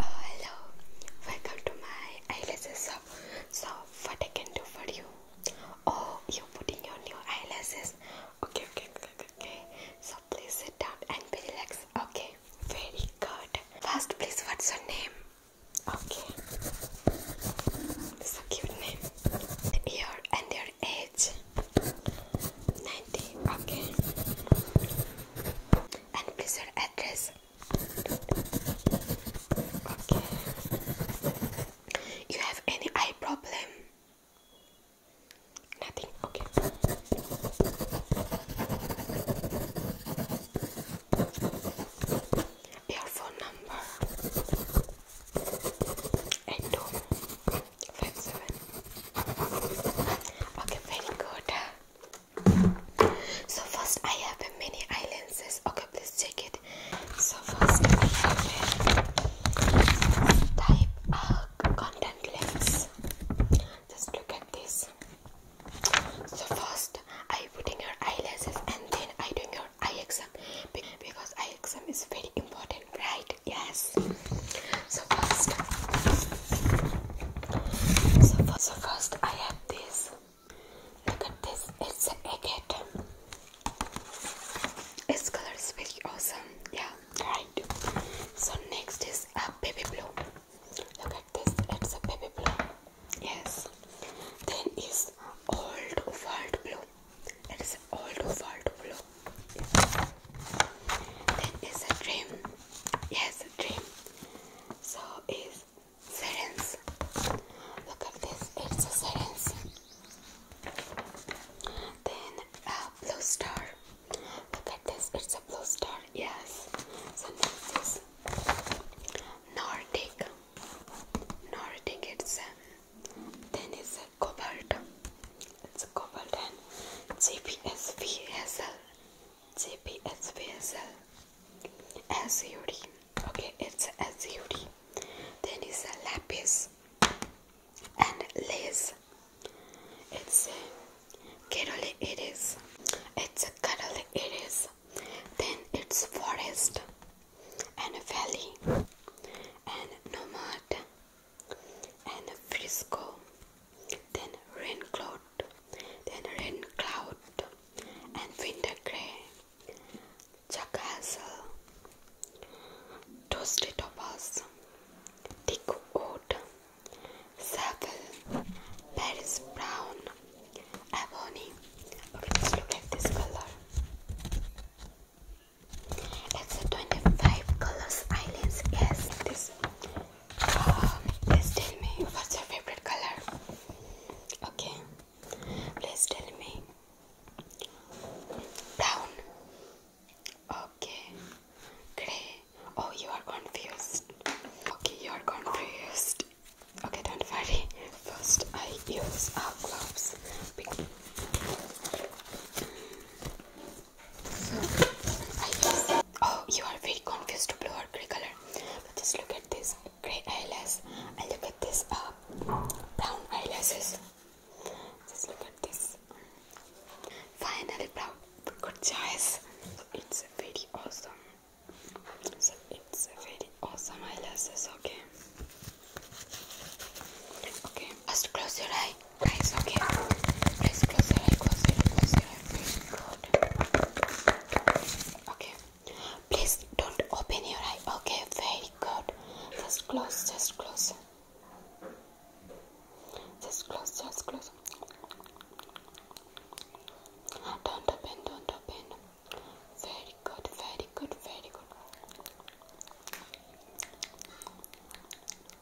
Uh, hello, welcome to my eyelashes So, what I can do for you? Oh, you putting your new eyelashes? Okay, okay, okay, okay. So please sit down and be relaxed. Okay, very good. First, please, what's your name? Okay, so cute name. Year and your age? Ninety. Okay and please your address. Okay. You have any eye problem? Nothing. Okay. Your phone number. Eight two five seven. Okay, very good. So first I have a mini eye lenses. Okay, please check it. So first I have a type uh, content lens. Just look at this. So first I putting your eyelashes and then I doing your eye exam because eye exam is very important, right? Yes. So first, so first, I have this. Look at this. It's a egg Its color is really awesome. Yeah, right. So next is a baby blue. Look at this. It's a baby blue. Yes. Then is old world blue. It is old world blue. Then is a dream Yes, dream. So is sirens. Look at this. It's a Then a blue star. Look at this. It's a blue star. Yes. So next is Nordic. Nordic. It's then it's a Cobalt and CPSVSL, CPSVSL, SUD. Okay, it's SUD. Then is a lapis and lace. It's uh, a Kerala it is. It's a Kerala it is. Then it's forest and valley and nomad and Frisco, then rain cloud, then rain cloud, and winter grey, Jack Hazel, toasted topaz, thick wood, savile, Paris brown, ebony. look at this color. It's a 25 colors islands. Yes, this guys, uh, tell me what's your favorite color. Okay, please tell me. Brown. Okay. Grey. Oh, you are confused. Okay, you are confused. Okay, don't worry. First, I use our uh, gloves. So, I guess. Oh, you are very confused to blue or grey color. But just look at this grey eyelash and look at this uh, brown eyelashes. Just look at this. Finally, brown. Good choice. it's very awesome. So it's very awesome eyelashes. Okay. Okay. First, close your eye. Guys, okay. Please close your eye, close your eye, close your eye. Very good. Okay. Please don't open your eye. Okay, very good. Just close, just close. Just close, just close. Don't open, don't open. Very good, very good, very good.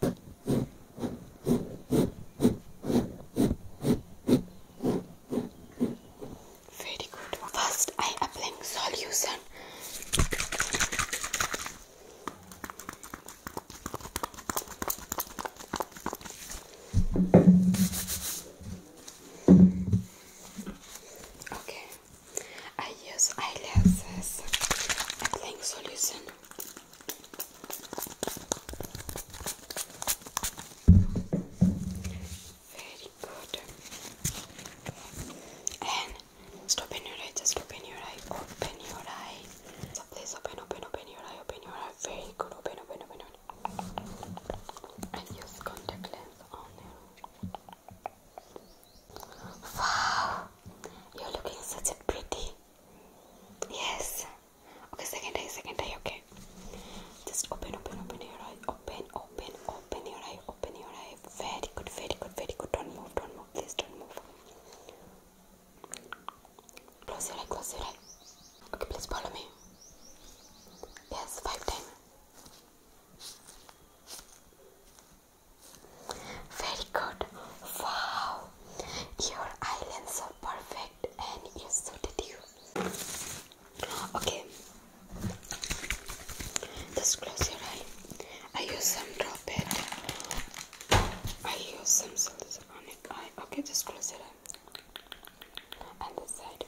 Very good. First, I am solution. Okay, I use eyelashes applying solution very good. And stop your eye, open your eye, open your eye. open, your eye, open your eye. Very good, open, open, open. And use contact lens on there. Wow, you're looking such a pretty. Yes, Okay, second day, second day. okay. Just open, open, open your eye. Open, open, open your eye, open your eye. Very good, very good, very good. Don't move, don't move, please don't move. Close your eye, close your eye. Okay, please follow me. Yes, five times. Very good. Wow, Wow, your eyelids are perfect and you are so you. Okay, just close your eye. I use some drop it. I use some solution on it. Eye. Okay, just close your eye. And this side.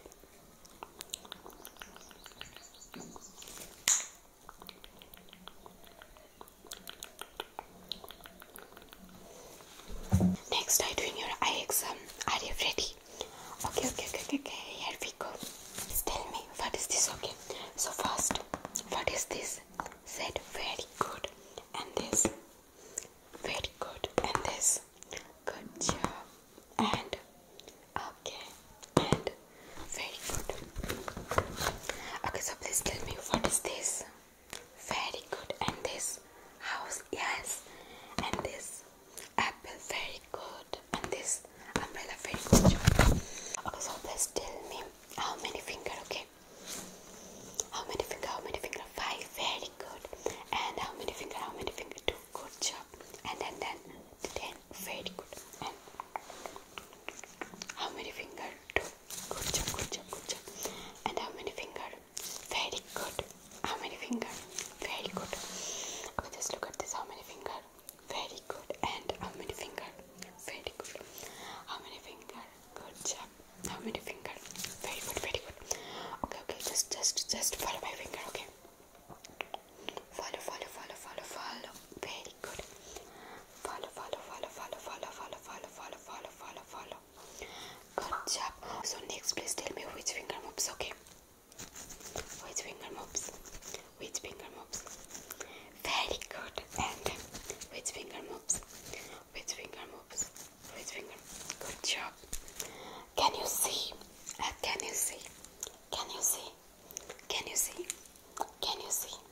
Next, I doing your exam. Are you ready? Okay, okay, okay, okay, Here we go. Just tell me what is this? Okay. So fast. what is this? Said very good. And this, very good. And this, good job. And okay, and very good. Okay, so please tell me what is this? very good and this house yes and this apple very good and this umbrella very good job. okay please tell me how many finger okay how many finger how many finger five very good and how many finger how many finger two good job and then then ten very good and how many finger two Good job, good job, good job. And how many finger? Very good. How many finger? Very good. Okay, just look at this. How many finger? Very good. And how many finger? Very good. How many finger? Good job. How many finger? Very good, very good. Okay, okay, just just just follow my finger, okay? Follow, follow, follow, follow, follow. Very good follow, Good job. So next, please tell me which finger moves. Okay. Which finger moves? Which finger moves? Very good. And which finger moves? finger moves? Which finger? Good job. Uh, can you see? can you see? Can you see? Can you see? Can you see?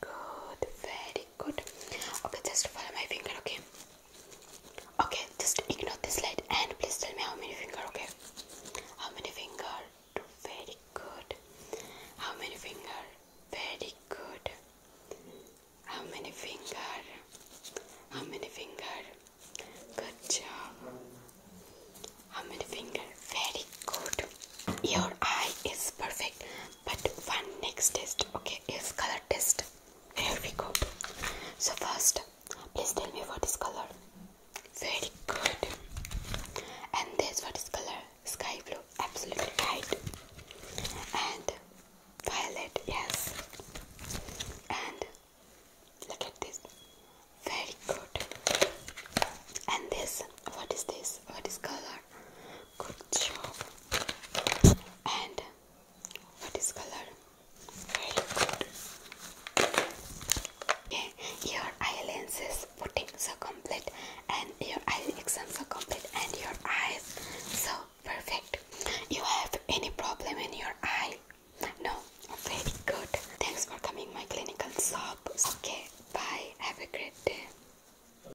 Good, very good. Okay, just follow my finger, okay? Okay, just ignore this slide and please tell me how many finger, okay? How many finger? Very good. How many finger? Very good. How many finger? How many finger? Good job. How many finger? Very good. Your eye is perfect, but one next test, okay? is color test. Here we go. So first, please tell me what is color. Very good. And this what is color? Sky blue. Absolutely right. And violet. Yes. And look at this. Very good. And this what is this? What is color? good job and what is color very good okay your eyelashes putting so complete and your eye so complete and your eyes so perfect you have any problem in your eye no very good thanks for coming my clinical shop okay bye have a great day